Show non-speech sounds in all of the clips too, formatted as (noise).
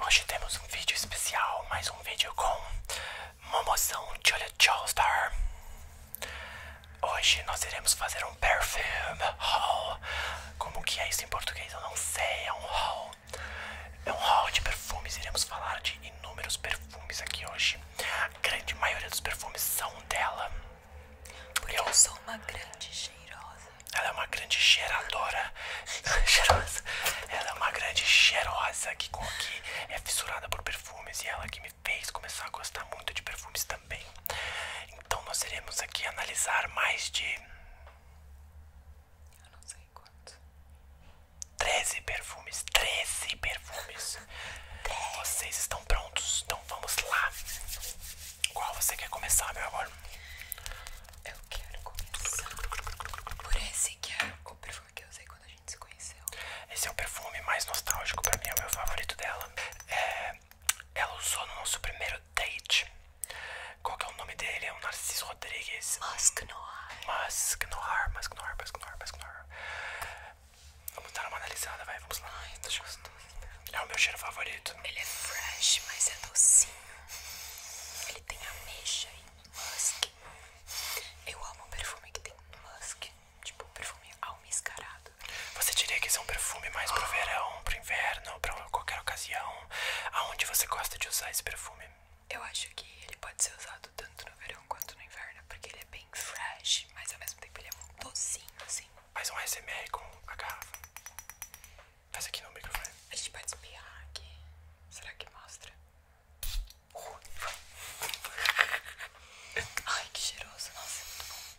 Hoje temos um vídeo especial, mais um vídeo com Momoção de Joestar. Hoje nós iremos fazer um perfume haul como que é isso em português? Eu não sei, é um haul. É um haul de perfumes, iremos falar de inúmeros perfumes aqui hoje. A grande maioria dos perfumes são dela. eu, sou uma grande cheirosa. Ela é uma grande geradora (laughs) cheirosa. Ela é uma grande cheirosa que, que é fissurada por perfumes e ela que me fez começar a gostar muito de perfumes então nós iremos aqui analisar mais de. Eu não sei quanto. 13 perfumes. 13 perfumes. Vocês estão prontos? Então vamos lá. Qual você quer começar, meu amor? Eu quero começar por esse que é o perfume que eu usei quando a gente se conheceu. Esse é o perfume mais nostálgico pra mim, é o meu favorito dela. É, ela usou no nosso primeiro date. Qual é o nome dele? É o Narciso Rodrigues. Musk Musk Noir Noir Musk Noir Musk Noir Vamos dar uma analisada, vai, vamos lá. Ai, tô gostoso. É o meu cheiro favorito. Ele é fresh, mas é docinho. Ele tem ameixa e musk. Eu amo perfume que tem musk. Tipo, perfume almiscarado. Você diria que esse é um perfume mais pro verão, pro inverno, pra qualquer ocasião? Aonde você gosta de usar esse perfume? Eu acho que ele pode ser usado tanto no verão quanto no inverno, porque ele é bem fresh, mas ao mesmo tempo ele é um docinho, assim. Faz um ASMR com a garrafa. Faz aqui no microfone. A gente pode espiar aqui. Será que mostra? Ai, que cheiroso. Nossa, é muito bom.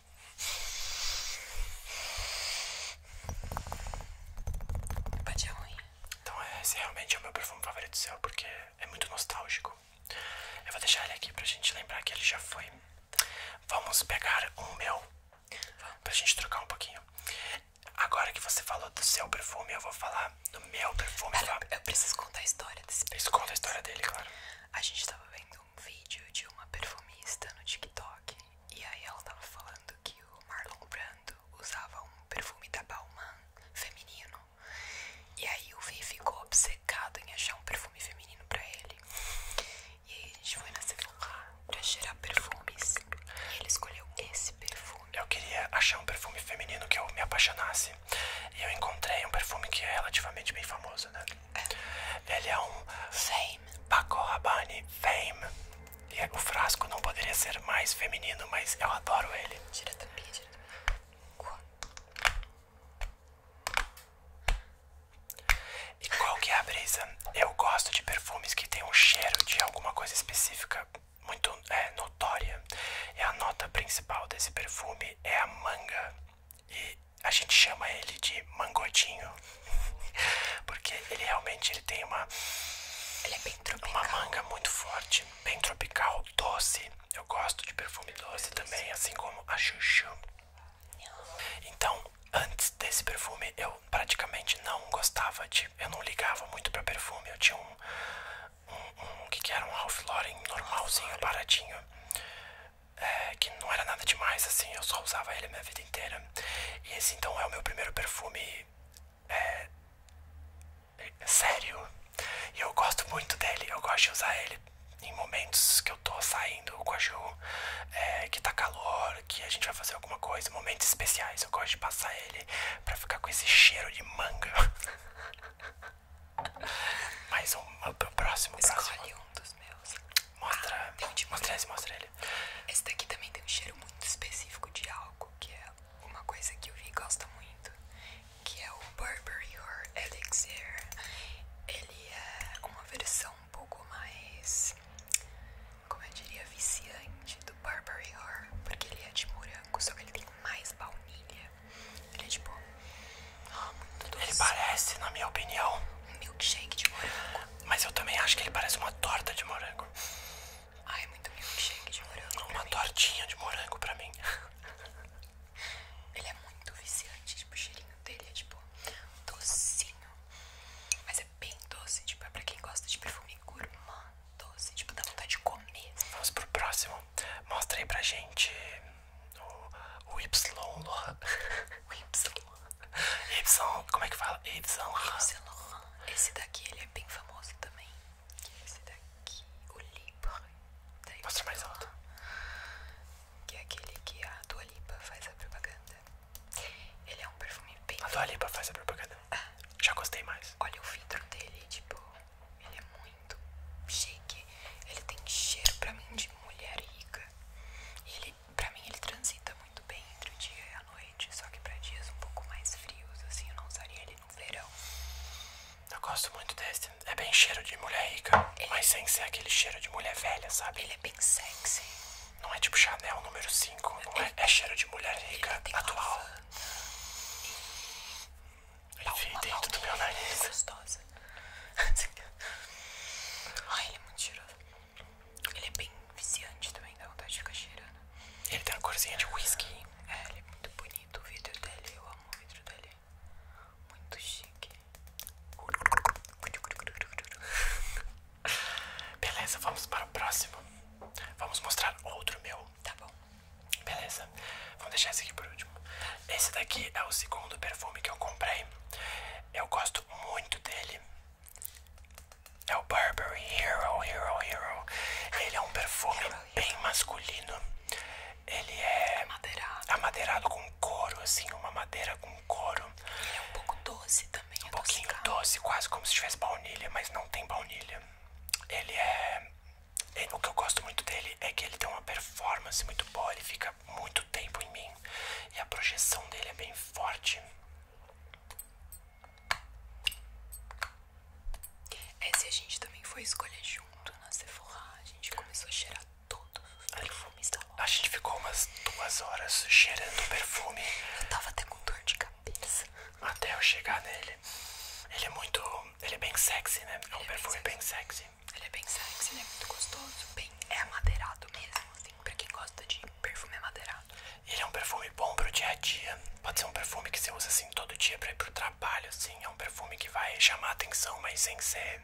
Pode é ruim. Então é, esse realmente é o meu perfume favorito do céu porque é muito nostálgico. Eu vou deixar ele aqui pra gente lembrar que ele já foi. Vamos pegar um meu pra gente trocar um pouquinho. Agora que você falou do seu perfume, eu vou falar do meu perfume. Pera, tá? eu preciso contar a história desse perfume. conta a história dele, claro. A gente tava vendo um vídeo de uma perfumista no TikTok e aí ela tava falando que o Marlon Brando usava um perfume da Bauman feminino e aí o Vi ficou obcecado em achar um perfume feminino pra ele e aí a gente foi na Sephora pra cheirar perfumes e ele escolheu esse perfume. Eu queria achar um perfume feminino que eu me apaixonasse e eu encontrei um perfume que é relativamente bem famoso, né? Ele é um Fame Fame. E o frasco não poderia ser mais feminino, mas eu adoro ele. Tira a E qual que é a brisa? Eu gosto de perfumes que têm um cheiro de alguma coisa específica muito é, notória. E a nota principal desse perfume é a manga. E a gente chama ele de mangotinho (laughs) porque ele realmente ele tem uma, é uma manga muito forte, bem tropical, doce. Eu gosto de perfume doce, também, assim como a Chuchu. Então, antes desse perfume, eu praticamente não gostava de. Eu não ligava muito para perfume. Eu tinha um. um, que, que era um Ralph Lauren normalzinho, baratinho que não era nada demais, assim, eu só usava ele a minha vida inteira. E esse então é o meu primeiro perfume é, é sério. E eu gosto muito dele, eu gosto de usar ele em momentos que eu tô saindo com a Ju, é, que tá calor, que a gente vai fazer alguma coisa, momentos especiais, eu gosto de passar ele pra ficar com esse cheiro de manga. (laughs) Mais um, o próximo, próximo um dos meus. Mostra, tem um de mostra ele. Esse daqui também tem um cheiro muito específico de álcool, que é uma coisa que eu vi e gosto muito, que é o Burberry Or Elixir. Ele é uma versão um pouco mais, como eu diria, viciante do Burberry Or, porque ele é de morango, só que ele tem mais baunilha. Ele é tipo ah, muito doce. Ele parece, na minha opinião, um milkshake de morango. Mas eu também acho que ele parece uma torta de morango. Ai, muito milkshake de morango. Uma tortinha de morango pra mim. (laughs) Ele é muito viciante, tipo, o cheirinho dele é tipo docinho. Mas é bem doce, tipo, é pra quem gosta de perfume gourmand doce, tipo, dá vontade de comer. Vamos pro próximo. Mostra aí pra gente o, o Y, o (laughs) Y, como é que fala? Y, esse daqui ele é bem famoso também. Esse daqui, o Lipa. Mostra mais alto. Que é aquele que a Dua Lipa faz a propaganda. Ele é um perfume bem. A Dua Lipa faz a propaganda? Ah. Já gostei mais. Olha o vidro dele, tipo, ele é muito chique. Ele tem cheiro pra mim de mulher rica. Ele, pra mim, ele transita muito bem entre o dia e a noite, só que pra dias um pouco mais frios, assim, eu não usaria ele no verão. Eu gosto muito desse. É bem cheiro de mulher rica, ele... mas sem ser aquele cheiro de mulher velha, sabe? Ele é bem sexy. Não é tipo Chanel número 5, é, é, cheiro de mulher rica atual. Enfim, dentro do meu nariz. (laughs) Ai, ele é muito cheiroso. Ele é bem viciante também, dá vontade de ficar cheirando. Ele tem uma corzinha de whisky. É, ele é muito bonito o vidro dele. Eu amo o vidro dele. Muito chique. (laughs) Beleza, vamos para o próximo. Vamos mostrar outro meu. Tá bom. Beleza. Vou deixar esse aqui por último. Esse daqui é o segundo perfume que eu comprei. Eu gosto muito dele. É o Burberry Hero Hero Hero. Ele é um perfume bem masculino. Ele é amadeirado. com couro, assim, uma madeira com couro. Ele é um pouco doce também. Um pouquinho adocicado. doce, quase como se tivesse baunilha, mas não tem baunilha. Ele é, é. O que eu gosto muito dele é que ele tem uma performance muito boa, ele fica muito tempo em mim e a projeção dele é bem forte. Esse a gente também foi escolher junto na Sephora. A gente começou a cheirar todos os perfumes da loja. A gente ficou umas duas horas cheirando o perfume. Eu tava até com dor de cabeça. Até eu chegar nele. Ele é muito. Ele é bem sexy, né? é um é perfume bem sexy. Ele é bem sexy, ele é Muito gostoso. Bem, é amadeirado mesmo, assim, pra quem gosta de perfume amadeirado. Ele é um perfume bom pro dia a dia. Pode ser um perfume que você usa assim todo dia pra ir pro trabalho, assim. É um perfume que vai chamar atenção, mas sem ser.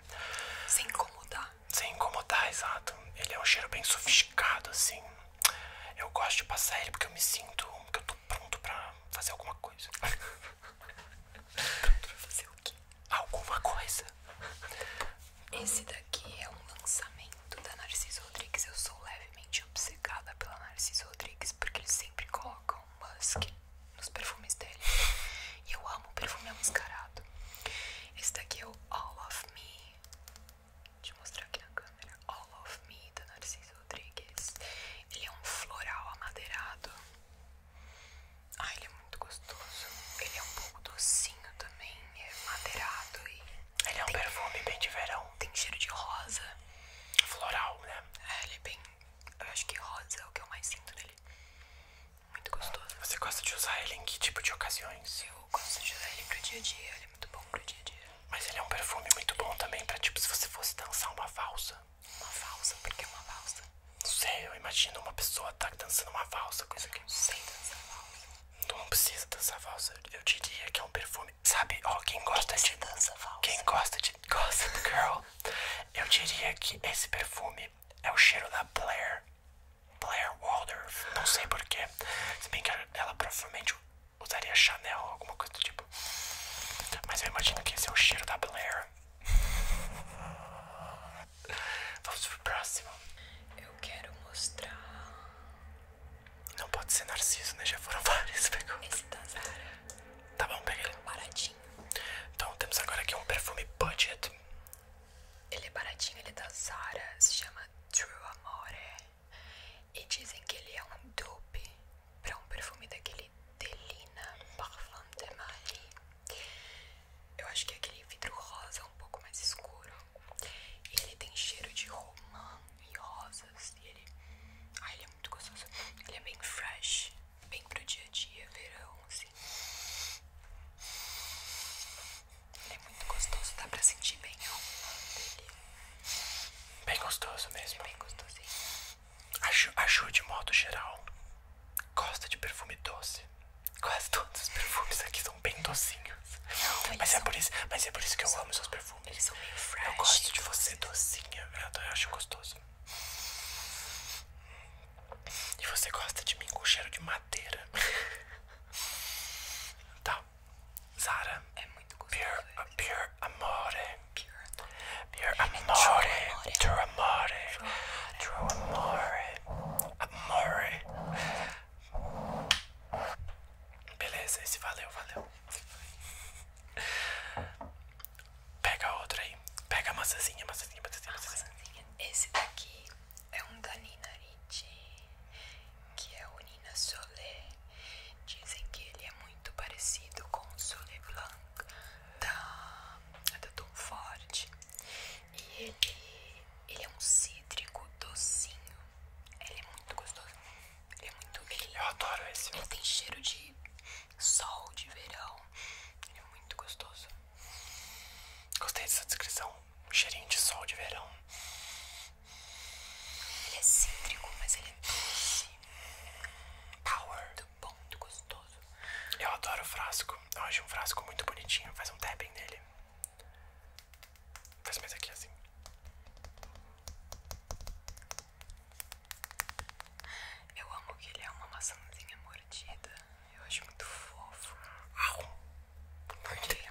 Sem incomodar. Sem incomodar, exato. Ele é um cheiro bem sofisticado, assim. Eu gosto de passar ele porque eu me sinto que eu tô pronto pra fazer alguma coisa. (laughs) pronto pra fazer o quê? alguma coisa. Esse daqui é um lançamento da Narciso Rodrigues. Eu sou levemente obcecada pela Narciso Rodrigues porque eles sempre colocam musk nos perfumes dele. E eu amo perfume amascarado Esse daqui é o All of Me. Deixa eu mostrar aqui na câmera. All of Me da Narciso Rodrigues. Ele é um floral amadeirado. Ah, ele é muito gostoso. Ele é um pouco docinho também, é madeirado e. Ele é um perfume bem de verão. Tem cheiro de rosa. Floral, né? É, ele é bem. Eu acho que rosa é o que eu mais sinto nele. Muito gostoso. Você gosta de usar ele em que tipo de ocasiões? Eu gosto de usar ele pro dia a dia, ele é muito bom pro dia a dia. Mas ele é um perfume muito bom também pra tipo se você fosse dançar uma valsa. Uma valsa, por que uma valsa? Não sei, eu imagino uma pessoa tá dançando uma valsa com isso Não sei dançar valsa. Então não precisa dançar valsa. Eu diria que é um perfume. Sabe, ó, quem gosta de. dança valsa? Quem gosta de Gossip Girl, eu diria que esse perfume é o cheiro da Blair. Blair Waldorf, não sei porquê. Se bem que ela provavelmente usaria Chanel alguma coisa do tipo. Mas eu imagino que esse é o cheiro da Blair. (laughs) Vamos pro próximo. Eu quero mostrar. Não pode ser Narciso, né? Já foram (laughs) vários. perguntas. Esse da Zara. Tá bom, peguei. Baratinho. Então temos agora aqui um perfume budget. Ele é baratinho, ele é da Zara. Se chama True Amore. E dizem que ele é um dupe pra um perfume daquele Delina Parfum de Marie. Eu acho que é aquele vidro rosa é um pouco mais escuro. ele tem cheiro de romã e rosas. E ele. Ai, ele é muito gostoso. Ele é bem fresh, bem pro dia a dia, verão, assim. Ele é muito gostoso, dá pra sentir bem a romã dele. Bem gostoso mesmo. bem gostosinho. A Ju, de modo geral, gosta de perfume doce. Quase todos os perfumes aqui são bem docinhos. mas, é por isso, mas é por isso que eu amo seus perfumes. Eles são meio Eu gosto de você assim. docinha, eu acho gostoso. E você gosta de mim com cheiro de madeira. (laughs) tá. Zara. É muito gostoso. pure né? amore. Pure amore, true amore, true amore, amore. Beleza, esse valeu, valeu. Pega outro aí. Pega a maçãzinha, maçãzinha, maçãzinha, Esse daqui é um da Nina que é o Nina Solé. Dizem que ele é muito parecido com o Solé Blanc da, tá. é da Tom Ford. E ele, ele é um cítrico docinho. Ele é muito gostoso. Ele é muito ele, Eu adoro esse. Ele tem cheiro de sol de verão. Ele é muito gostoso. Gostei dessa descrição. cheirinho de sol de verão. Ele é cítrico, mas ele é doce. Power muito bom, muito gostoso. Eu adoro o frasco. Eu acho um frasco muito bonitinho. Faz um tapping nele. Faz mais aqui assim. Eu amo que ele é uma maçãzinha mordida. Eu acho muito fofo. muito Mordi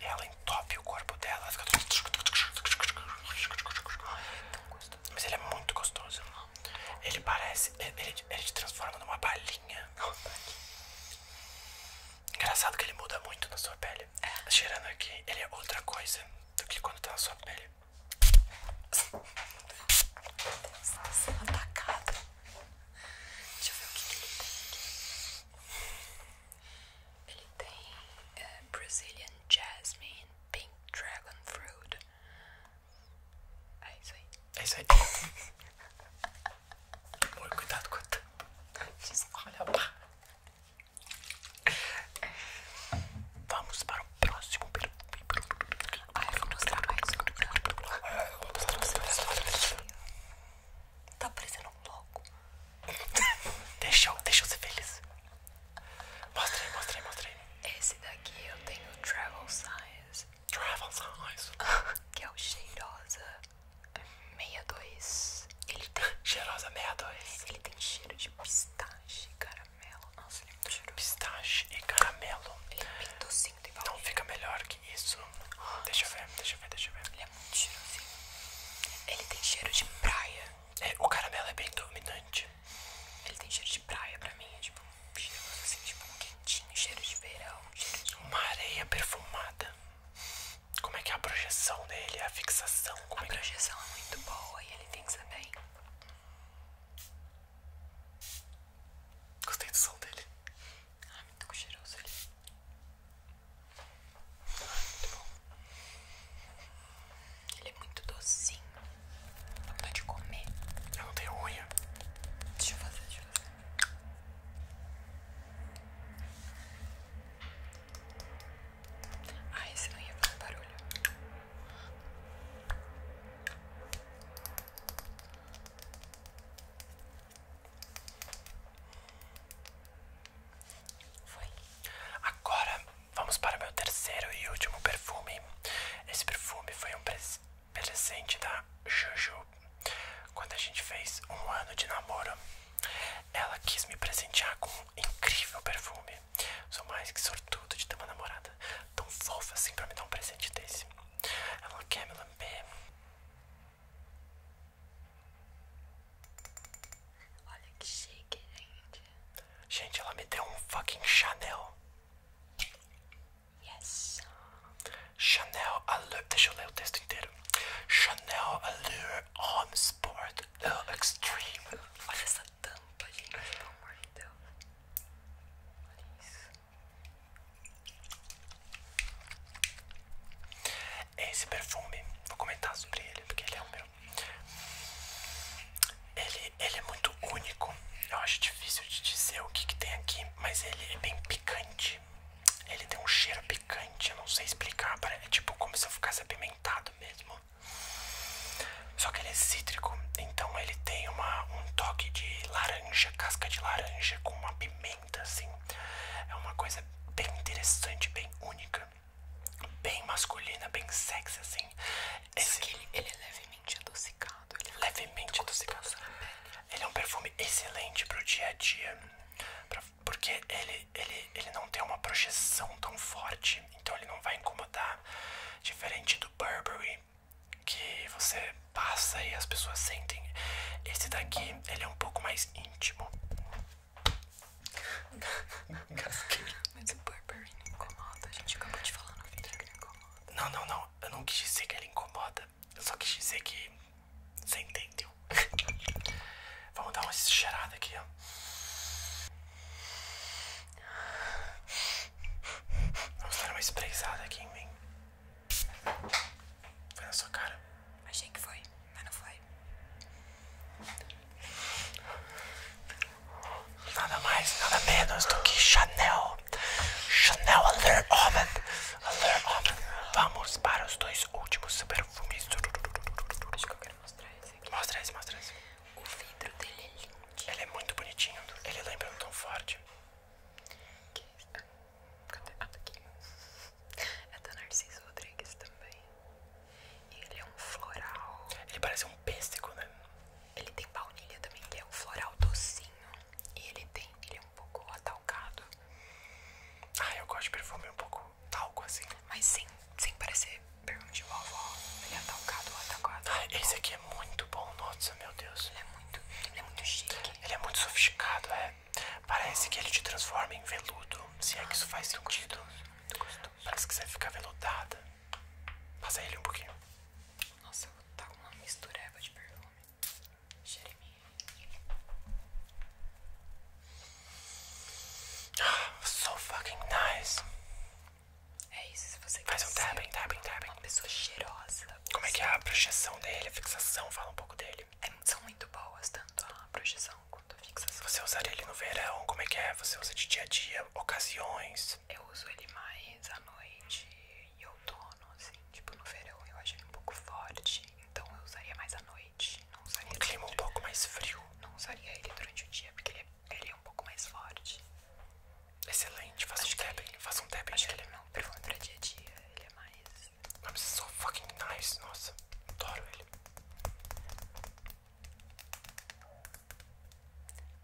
ela entope o corpo dela, Mas ele é muito gostoso. Ele parece. Ele, ele te transforma numa balinha. Engraçado que ele muda muito na sua pele. É. Cheirando aqui, ele é outra coisa do que quando tá na sua pele. Você tá é sendo atacado. Deixa eu ver o que ele tem aqui. Ele tem é, Brazilian Jasmine, Pink Dragon Fruit. É isso aí. É isso aí. (laughs) Amor, cuidado com Olha lá. Vamos para o próximo Tá parecendo um louco. (laughs) deixa, eu, deixa eu ser feliz. Mostra aí, mostra aí, mostra aí. Esse daqui eu tenho Travel size Travel size que é o Cheirosa 62. Ele tem. Cheirosa 62. Ele tem cheiro de pistache e caramelo. Nossa, ele é muito cheiroso. Pistache e caramelo. Ele é bem docinho de baunilha. Não fica melhor que isso. Deixa eu ver, deixa eu ver, deixa eu ver. Ele é muito cheirosinho. Ele tem cheiro de praia. É, o caramelo é bem dominante. Ele tem cheiro de praia pra mim. É tipo um cheiro assim, tipo quentinho, cheiro de verão, cheiro de. Uma areia perfumada. Como é que é a projeção dele? A fixação? Como a é é? projeção é muito boa e ele fixa bem. Gostei do som dele. Ai, tá muito cheiroso ali. muito bom. Ele é muito docinho. Não dá de comer. Eu não tenho unha. Deixa eu fazer, deixa eu fazer. Ah, esse não ia fazer barulho. Agora vamos para o meu terceiro e último perfume. Esse perfume foi um presente da Juju quando a gente fez um ano de namoro. Ela quis me presentear com um incrível perfume. Sou mais que sortudo de ter uma namorada tão fofa assim para me dar um presente desse. Ela quer me lamber. Olha que chique, gente. Gente, ela me deu um fucking Chanel. Yes. Chanel Allure. Deixa eu ler o texto inteiro. Chanel Allure Home Sport uh, Extreme. Olha essa tampa, gente. Pelo amor de Deus. Olha isso. Esse perfume, vou comentar sobre ele porque ele é o meu. Ele, ele é muito único. Eu acho difícil de dizer o que, que tem aqui, mas ele é bem picante. Ele tem um cheiro picante, eu não sei explicar. É tipo como se eu ficasse apimentado mesmo. Só que ele é cítrico, então ele tem uma, um toque de laranja, casca de laranja com uma pimenta assim. É uma coisa bem interessante, bem única, bem masculina, bem sexy, assim. Esse... Ele, é levemente adocicado. Ele é levemente adocicado. Ele é um perfume excelente para o dia a dia, porque ele, ele, ele não tem uma projeção tão forte, então ele não vai incomodar. Diferente do Burberry, que você passa e as pessoas sentem. Esse daqui, ele é um pouco mais íntimo. Gasquei. (laughs) Mas o Burberry não incomoda, a gente acabou de falar no vídeo que não incomoda. Não, não, não, eu não quis dizer que ele incomoda, eu só quis dizer que você entendeu. (laughs) Vamos dar uma cheirada aqui, ó. Vamos dar uma espreizada aqui em mim. Foi na sua cara. Achei que foi, mas não foi. Nada mais, nada menos do que Chanel. Chanel Alert Homem. Alert Vamos para os dois últimos perfumes. Acho que eu quero mostrar esse aqui. Mostra esse, mostra esse. O vidro dele é lindo. Ele é muito bonitinho. Ele lembra um tão forte. Que é Cadê? Ah, tá aqui. É da Narciso Rodrigues também. ele é um floral. Ele parece um pêssego, né? Ele tem baunilha também, que é um floral docinho. E ele tem. Ele é um pouco atalcado. Ah, eu gosto de perfume um pouco talco assim. Mas sem, sem parecer perfume de vovó. Ele é atalcado ou atalcado. Ah, esse aqui é muito bom, nossa, meu Deus. Ele é muito. Ele é muito chique. Ele é muito sofisticado, é. Parece que ele te transforma em veludo, se é que isso faz sentido. Parece que você fica veludada. Passa ele um pouquinho. Nossa, eu vou tá uma mistureba de perfume. Jeremy. Ah, So fucking nice. É isso, se você quer Faz um tapping, tapping, tapping. Uma pessoa cheirosa. Como é que é a projeção dele, a fixação? Fala um pouco dele. É, são muito boas, tanto a projeção quanto a fixação. Você usaria ele no verão? Como é que é? Você usa de dia a dia, ocasiões? Eu uso ele mais à noite e outono, assim. Tipo, no verão eu acho ele um pouco forte, então eu usaria mais à noite. um clima um pouco mais frio. Não usaria ele durante o dia, porque ele é, é um pouco mais forte. Excelente, faça acho um tap, faça um tap. Acho que ele é meu perfil pra dia a dia, ele é mais nice. I'm so fucking nice. Nossa, adoro ele.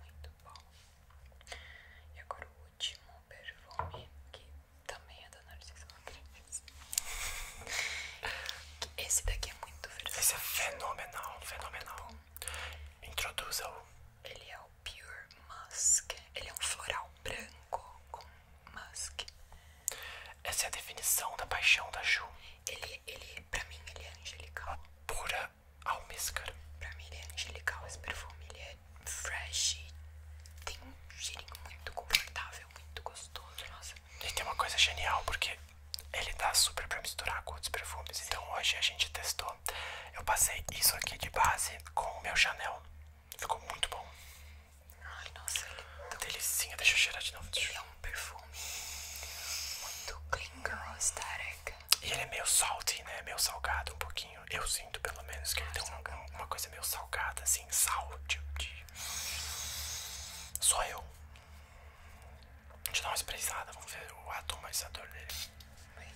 Muito bom. E agora o último perfume, que também é da Narciso Rodrigues. Esse daqui é muito versátil. Esse é fenomenal, fenomenal. Introduza-o. Ele é o Pure Musk. Ele é um floral branco com musk. Essa é a definição da paixão da Ju. Ele, ele pra mim, ele é angelical. A pura almíscar. Pra mim, ele é angelical. Esse perfume ele é fresh. Tem um cheirinho muito confortável, muito gostoso. Nossa. E tem uma coisa genial, porque ele dá super pra misturar com outros perfumes. Então hoje a gente testou. Eu passei isso aqui de base com o meu Chanel. Ficou muito bom. Ai, nossa, ele é Delicinha, deixa eu cheirar de novo. Ele é um perfume muito clean girl, E ele é meio salty, né? Meio salgado um pouquinho. Eu sinto, pelo menos, que ele ah, tem uma, coisa meio salgada, assim, sal Só eu. Deixa eu dar uma espreizada, vamos ver o atomizador dele. Bem.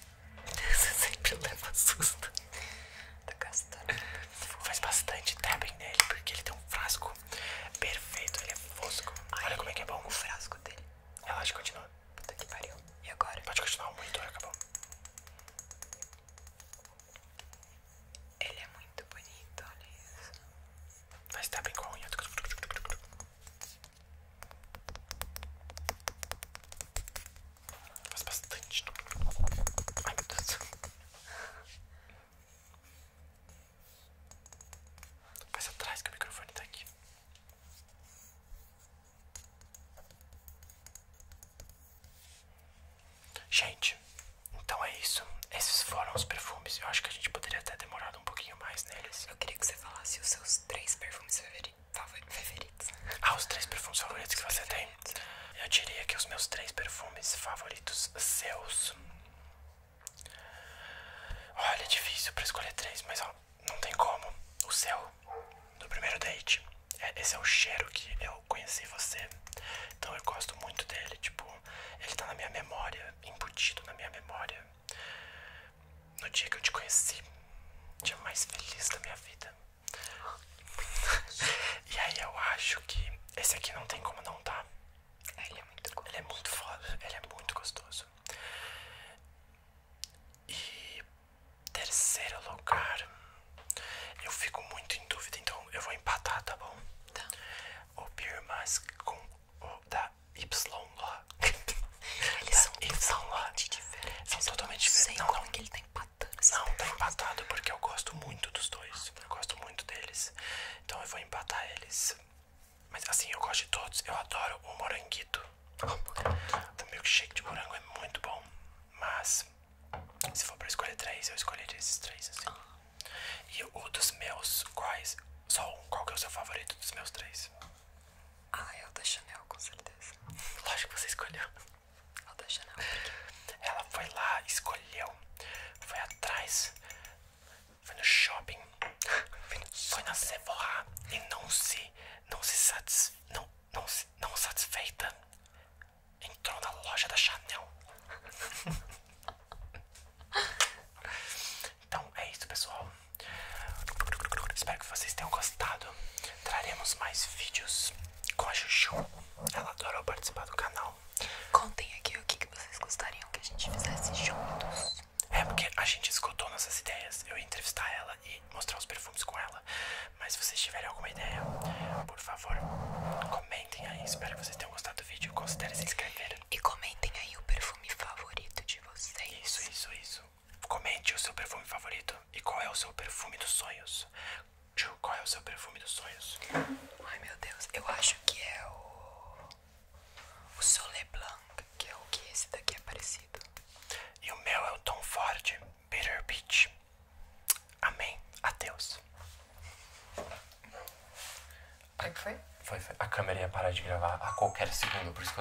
Você sempre leva susto da tá castanha. Faz bastante tapping nele, porque ele tem um frasco perfeito, ele é fosco. Olha como é que é bom. O frasco dele. Relaxa, continua. Puta que pariu. E agora? Pode continuar, muito monitor acabou. Ele é muito bonito, olha isso. Faz tapping com a unha. Faz bastante. Ai meu Deus. Faz atrás que o microfone tá aqui. Gente, então é isso. Esses foram os perfumes. Eu acho que a gente poderia até demorar um pouquinho mais neles. Eu queria que você falasse os seus três perfumes favoritos favoritos. Ah, os três perfumes favoritos que você tem? Eu diria que os meus três perfumes favoritos seus. Olha, é difícil pra escolher três, mas ó, não tem como. O seu, do primeiro date. É, esse é o cheiro que eu conheci você. Então eu gosto muito dele. Tipo, ele tá na minha memória, embutido na minha memória. No dia que eu te conheci, dia mais feliz da minha vida. (laughs) e aí eu acho que esse aqui não tem como não tá. É, ele é muito gostoso. Ele é muito foda, ele é muito gostoso. E terceiro lugar, eu fico muito em dúvida, então eu vou empatar, tá bom? Tá. O Beer Mask com o da Y. (laughs) Eles são, totalmente diferentes. Não, não. Como é que ele tá empatando. Não, tá empatado porque eu gosto muito dos dois. Eu gosto muito deles. Então eu vou empatar eles. Mas assim, eu gosto de todos. Eu adoro o moranguito. Ah, o milkshake de morango é muito bom. Mas se for pra escolher três, eu escolheria esses três, assim. E o dos meus, quais? Só um, qual que é o seu favorito dos meus três? Ah, é o da Chanel, com certeza. Lógico que você escolheu. É o da Chanel. Ela foi lá, escolheu, foi atrás, foi no shopping, foi, foi na Sephora e não se, não se satis, não, não, se, não satisfeita, entrou na loja da Chanel. (laughs) então é isso, pessoal. Espero que vocês tenham gostado. Traremos mais vídeos com a Chuchu. Ela adorou participar do canal. Contem aqui o que, vocês gostariam que a gente fizesse juntos. É porque a gente escutou nossas ideias. Eu ia entrevistar ela e mostrar os perfumes com ela. Mas se vocês tiverem alguma ideia, por favor, comentem aí. Espero que vocês tenham gostado do vídeo. Considere se inscrever. E comentem aí o perfume favorito de vocês. Isso, isso, isso. Comente o seu perfume favorito e qual é o seu perfume dos sonhos. Ju, qual é o seu perfume dos sonhos? Ai meu Deus, eu acho que é o. O Sole Blanc, que é o que esse daqui é parecido. E o meu é o Tom Ford, Bitter Beach. Amém. Adeus. Foi, foi? foi, foi. A câmera ia parar de gravar a qualquer segundo, por isso que eu